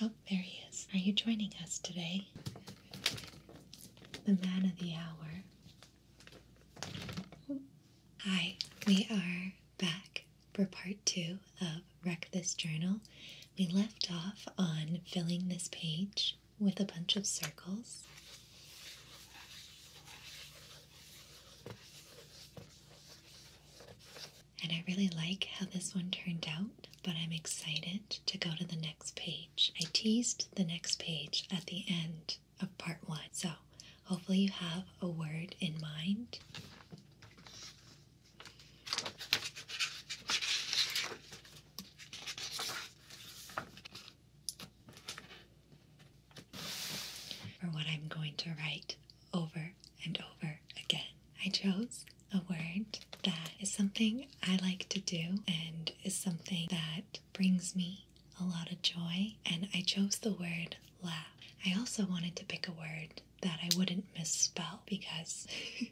Oh, there he is. Are you joining us today? The man of the hour. Hi, we are back for part two of Wreck This Journal. We left off on filling this page with a bunch of circles. And I really like how this one turned out, but I'm excited to go to the next page. I teased the next page at the end of part one, so hopefully you have a word in mind. For what I'm going to write over and over again. I chose a word that is something I like to do and is something that brings me a lot of joy, and I chose the word laugh. I also wanted to pick a word that I wouldn't misspell because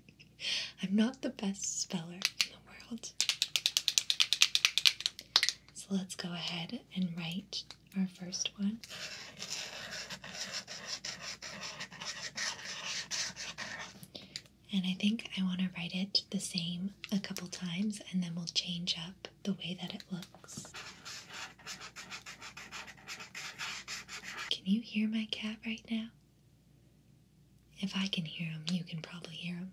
I'm not the best speller in the world. So let's go ahead and write our first one. And I think I want to write it the same a couple times and then we'll change up the way that it looks. Can you hear my cat right now? If I can hear him, you can probably hear him.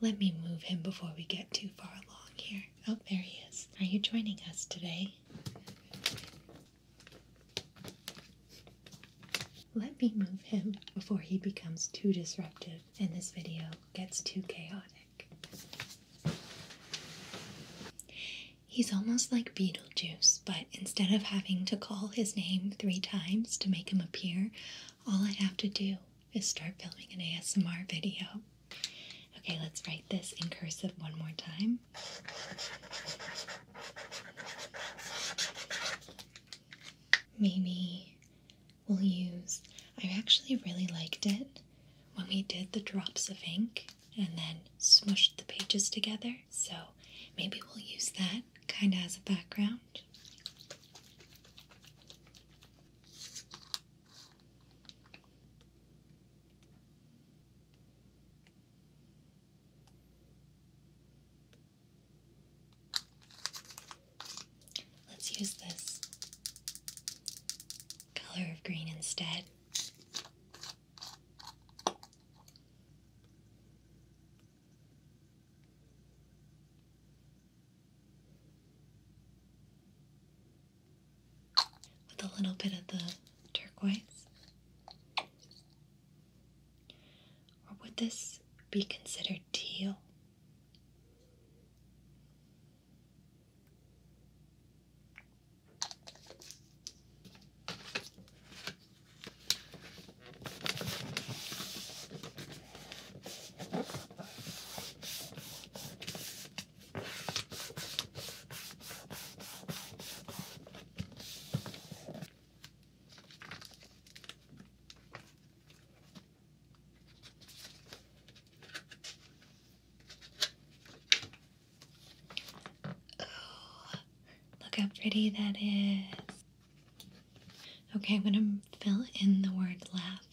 Let me move him before we get too far along here. Oh, there he is. Are you joining us today? Let me move him before he becomes too disruptive and this video gets too chaotic. He's almost like Beetlejuice, but instead of having to call his name three times to make him appear, all I have to do is start filming an ASMR video. Okay, let's write this in cursive one more time. Maybe we'll use, I actually really liked it when we did the drops of ink and then smushed the pages together. So maybe we'll use that kind of as a background. Let's use this color of green instead with a little bit of the turquoise? Or would this be considered teal? Oh, look how pretty that is. Okay, I'm going to fill in the word laugh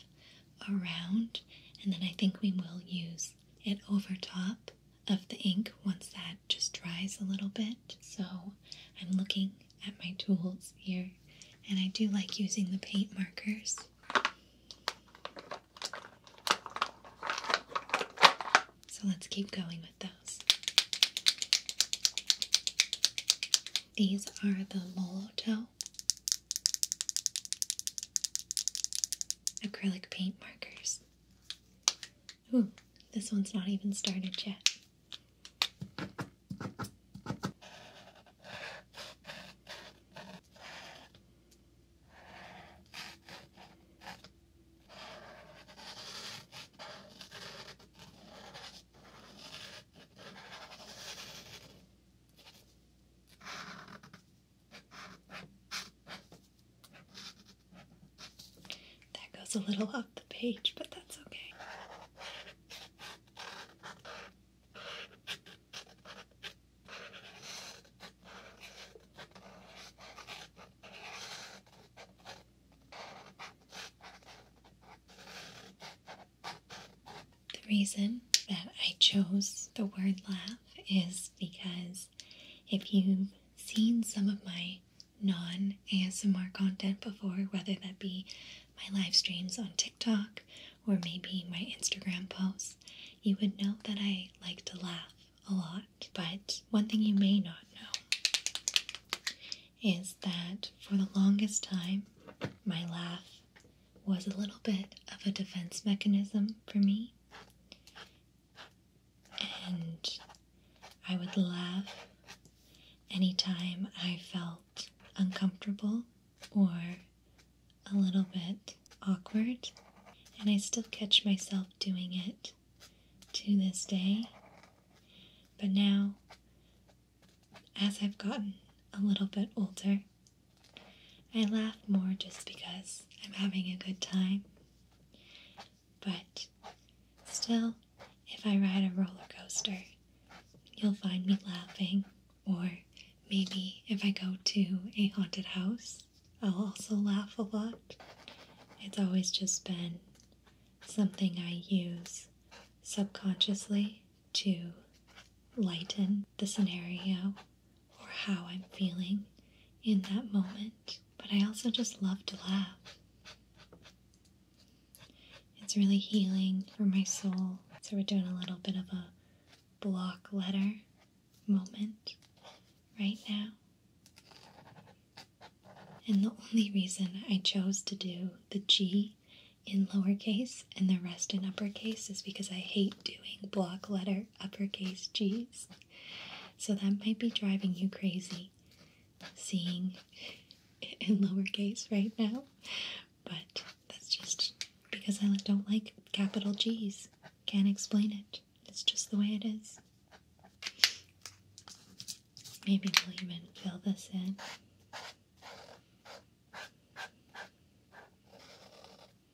around, and then I think we will use it over top of the ink once that just dries a little bit. So I'm looking at my tools here, and I do like using the paint markers. So let's keep going with those. These are the Molotow acrylic paint markers. Ooh, this one's not even started yet. That goes a little off the page, but that's okay. The reason that I chose the word laugh is because if you've seen some of my non ASMR content before, whether that be my live streams on TikTok or maybe my Instagram posts, you would know that I like to laugh a lot. But one thing you may not know is that for the longest time, my laugh was a little bit of a defense mechanism for me. And I would laugh anytime I felt uncomfortable or a little bit awkward. And I still catch myself doing it to this day. But now, as I've gotten a little bit older, I laugh more just because I'm having a good time. But still, if I ride a roller coaster, you'll find me laughing. Or maybe if I go to a haunted house, I'll also laugh a lot. It's always just been something I use subconsciously to lighten the scenario or how I'm feeling in that moment, but I also just love to laugh. It's really healing for my soul. So we're doing a little bit of a block letter moment right now. And the only reason I chose to do the G in lowercase and the rest in uppercase is because I hate doing block letter uppercase G's. So that might be driving you crazy, seeing it in lowercase right now. But that's just because I don't like capital G's. Can't explain it. It's just the way it is. Maybe we'll even fill this in.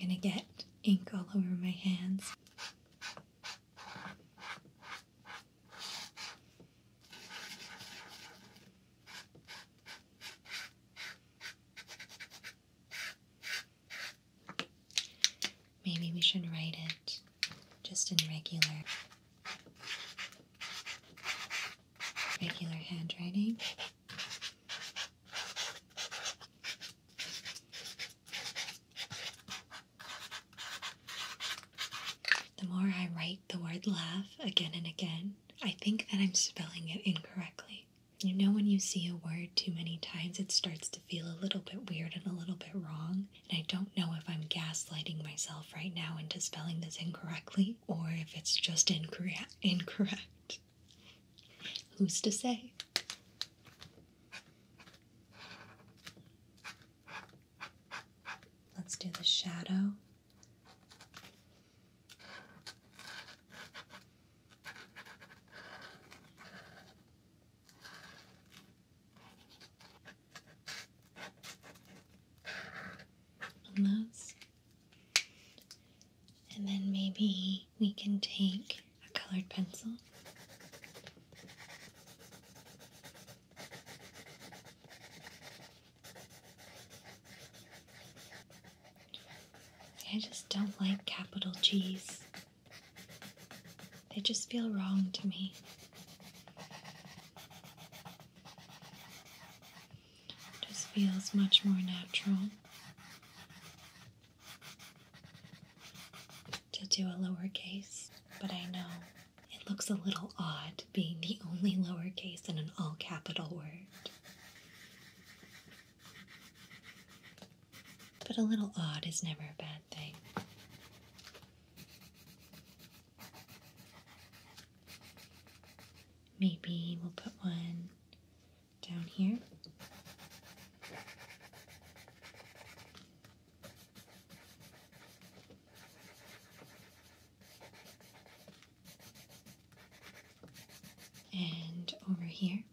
I'm going to get ink all over my hands. Maybe we should write it just in regular regular handwriting. The more I write the word laugh again and again, I think that I'm spelling it incorrectly. You know, when you see a word too many times, it starts to feel a little bit weird and a little bit wrong. And I don't know if I'm gaslighting myself right now into spelling this incorrectly or if it's just incorrect. Who's to say? Let's do the shadow those. And then maybe we can take a colored pencil. I just don't like capital G's. They just feel wrong to me. just feels much more natural to do a lowercase, but I know it looks a little odd being the only lowercase in an all capital word. But a little odd is never a bad thing. Maybe we'll put one down here. And over here.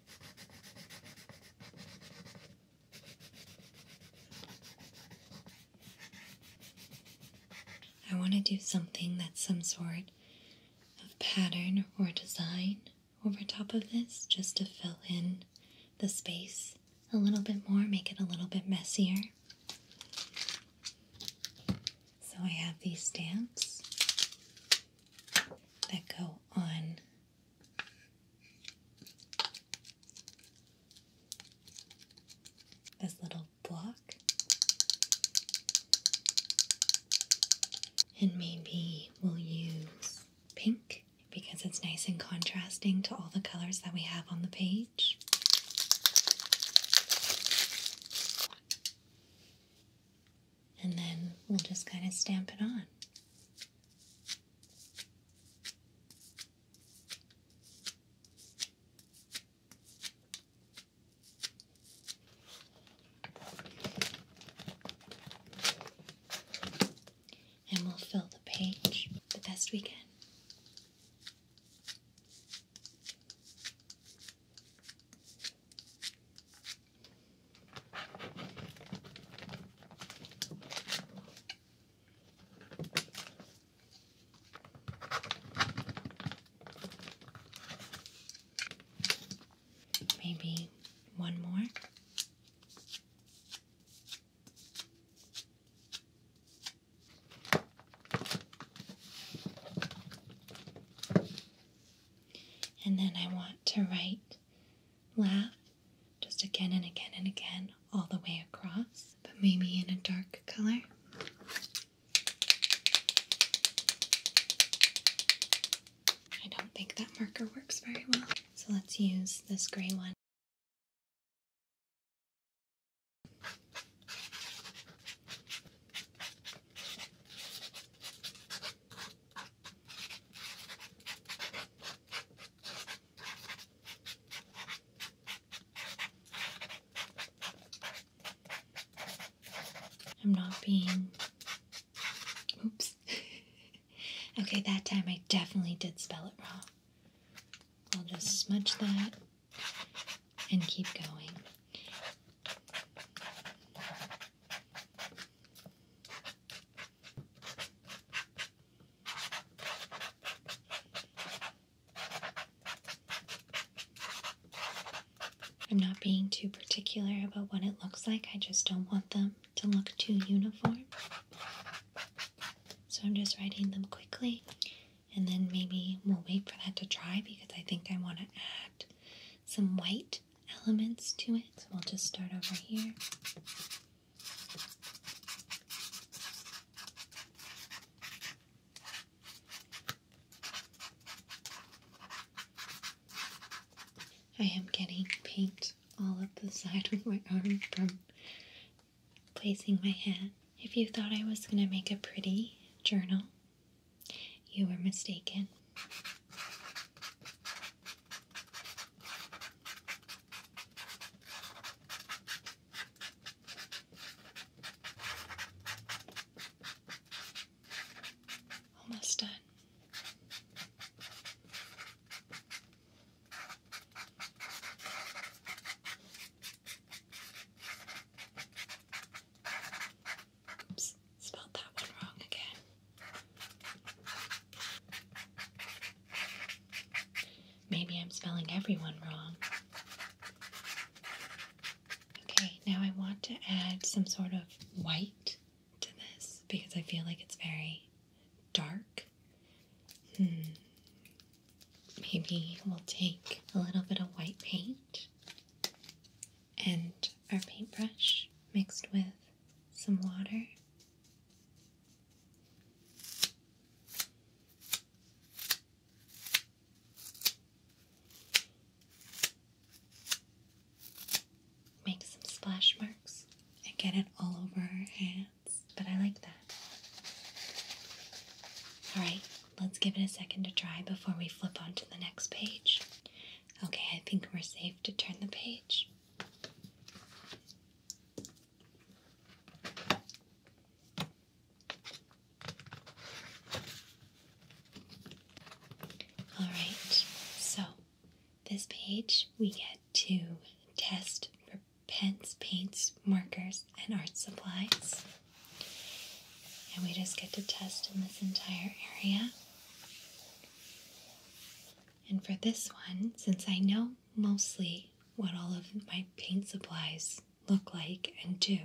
I want to do something that's some sort of pattern or design over top of this just to fill in the space a little bit more, make it a little bit messier. So I have these stamps that go on this little block. And maybe we'll use pink because it's nice and contrasting to all the colors that we have on the page. And then we'll just kind of stamp it on. And we'll fill the page the best we can. Maybe one more. And then I want to write laugh just again and again and again all the way across, but maybe in a dark color. I don't think that marker works very well, so let's use this gray one. I'm not being. Oops. okay, that time I definitely did spell it wrong. I'll just smudge that and keep going. I'm not being too particular about what it looks like, I just don't want them to look too uniform. So I'm just writing them quickly and then maybe we'll wait for that to dry because I think I want to add some white elements to it. So we'll just start over here. I am getting paint all up the side of my arm from placing my hand. If you thought I was going to make a pretty journal, you were mistaken. Almost done spelled that one wrong again. Maybe I'm spelling everyone wrong. Okay, now I want to add some sort of white to this because I feel like it's very dark. Hmm, maybe we'll take a little bit of white paint and our paintbrush mixed with some water. Make some splash marks and get it all over her hand but I like that. Alright, let's give it a second to dry before we flip on to the next page. Okay, I think we're safe to turn the page. Alright, so this page we get to test for pens, paints, markers, and art supplies. And we just get to test in this entire area. And for this one, since I know mostly what all of my paint supplies look like and do,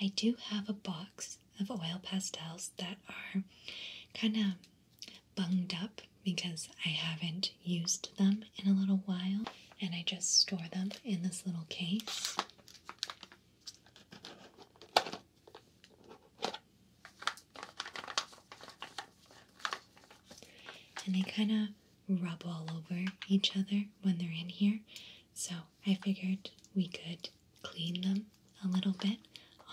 I do have a box of oil pastels that are kind of bunged up because I haven't used them in a little while, and I just store them in this little case. And they kind of rub all over each other when they're in here, so I figured we could clean them a little bit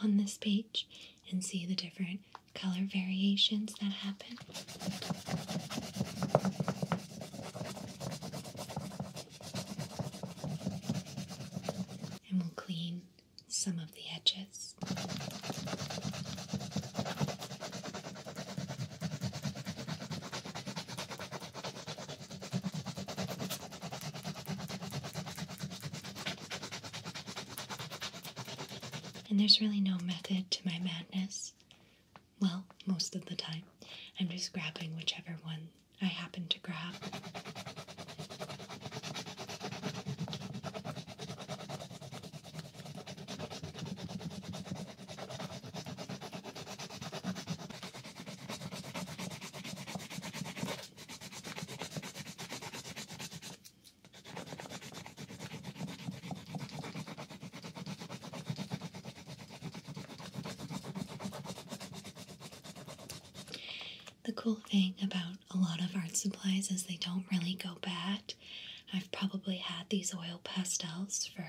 on this page and see the different color variations that happen. And we'll clean some of the edges. And there's really no method to my madness. Well, most of the time. I'm just grabbing whichever one I happen to grab. The cool thing about a lot of art supplies is they don't really go bad. I've probably had these oil pastels for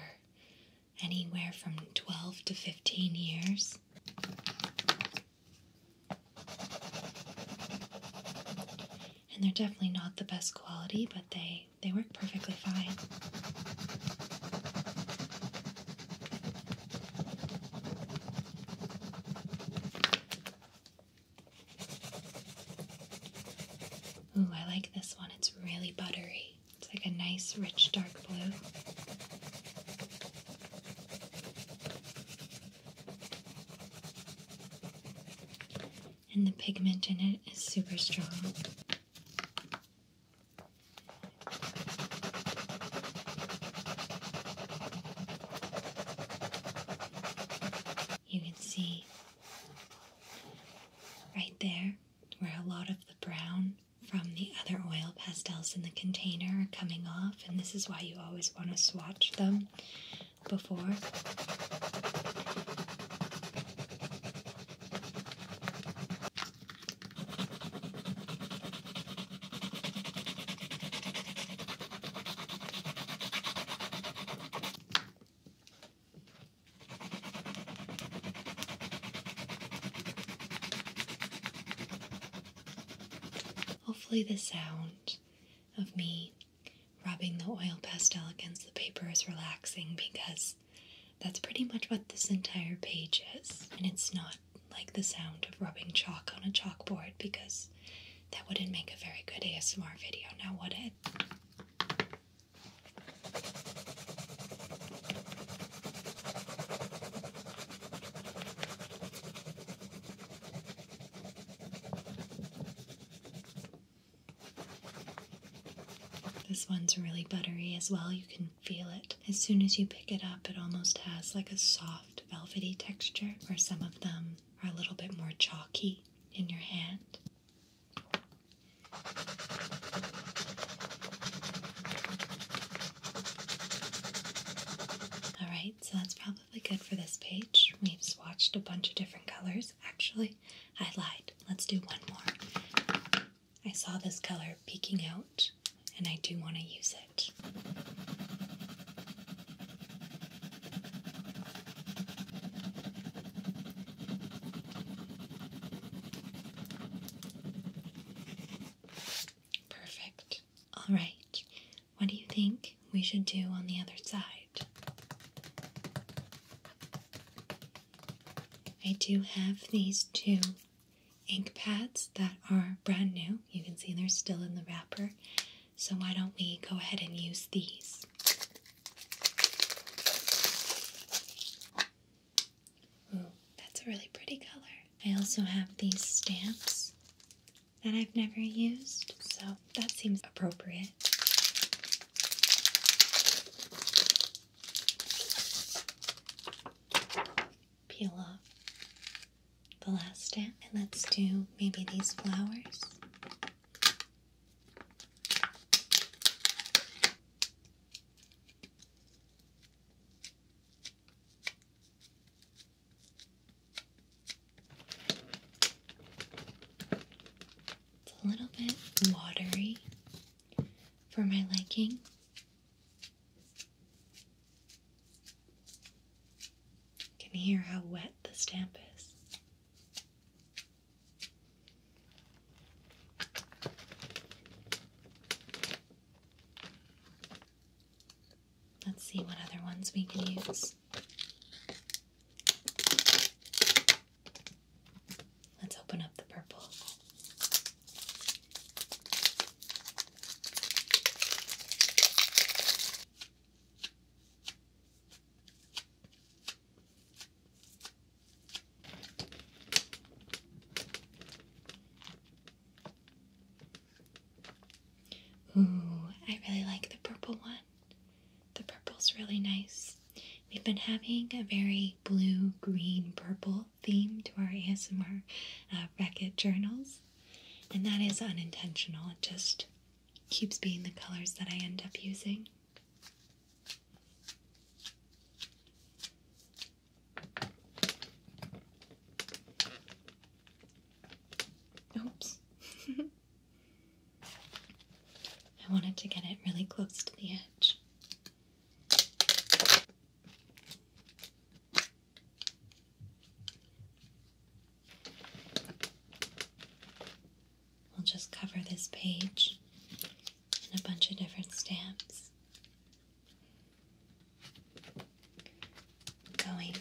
anywhere from 12 to 15 years. And they're definitely not the best quality, but they they work perfectly fine. Ooh, I like this one. It's really buttery. It's like a nice, rich, dark blue and the pigment in it is super strong. You can see right there where a lot of the brown from the other oil pastels in the container are coming off, and this is why you always want to swatch them before. Hopefully, the sound of me Rubbing the oil pastel against the paper is relaxing because that's pretty much what this entire page is. And it's not like the sound of rubbing chalk on a chalkboard because that wouldn't make a very good ASMR video, now would it? This one's really buttery as well. You can feel it. As soon as you pick it up, it almost has like a soft, velvety texture, where some of them are a little bit more chalky in your hand. Alright, so that's probably good for this page. We've swatched a bunch of different colors. Actually, I lied. Let's do one more. I saw this color peeking out, and I do want to use it. Perfect. All right. What do you think? we should do on the other side. I do have these two ink pads that are brand new. You can see they're still in the wrapper. So why don't we go ahead and use these? Ooh, that's a really pretty color. I also have these stamps that I've never used, so that seems appropriate. Peel off the last stamp and let's do maybe these flowers. It's a little bit watery for my liking. Can you hear how wet the stamp is? Let's see what other ones we can use. Let's open up the purple. Ooh, I really like the purple one. The purple's really nice. We've been having a very blue, green, purple theme to our ASMR uh, journals, and that is unintentional. It just keeps being the colors that I end up using. Oops. I wanted to get it really close to the edge. We'll just cover this page in a bunch of different stamps. Going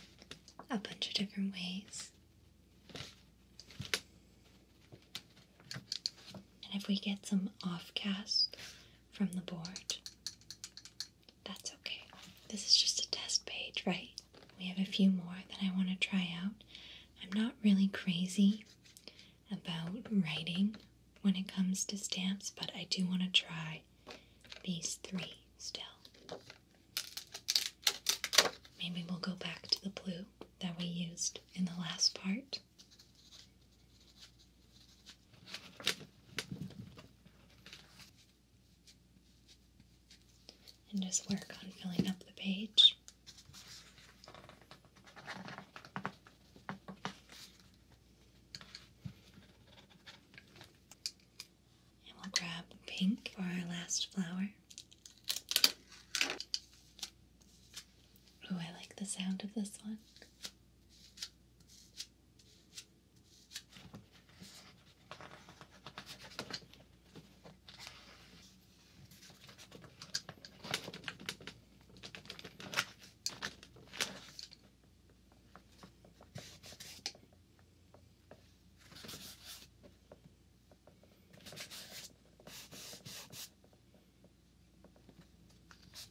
a bunch of different ways. And if we get some offcast from the board, that's okay. This is just a test page, right? We have a few more that I want to try out. I'm not really crazy about writing when it comes to stamps, but I do want to try these three still. Maybe we'll go back to the blue that we used in the last part. And just work on filling up the page. And we'll grab pink for our last flower. Ooh, I like the sound of this one.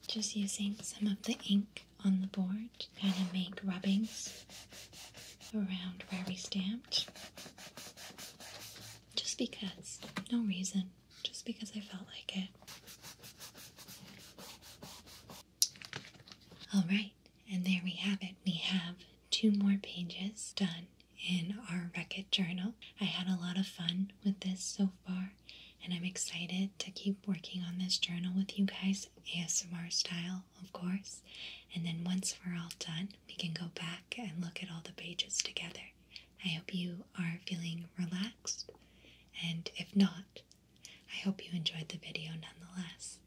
Just using some of the ink on the board to kind of make rubbings around where we stamped. Just because, no reason, just because I felt like it. Alright, and there we have it. We have two more pages done in our record journal. I had a lot of fun with this so far, and I'm excited to keep working on this journal with you guys, ASMR style, of course. And then once we're all done, we can go back and look at all the pages together. I hope you are feeling relaxed, and if not, I hope you enjoyed the video nonetheless.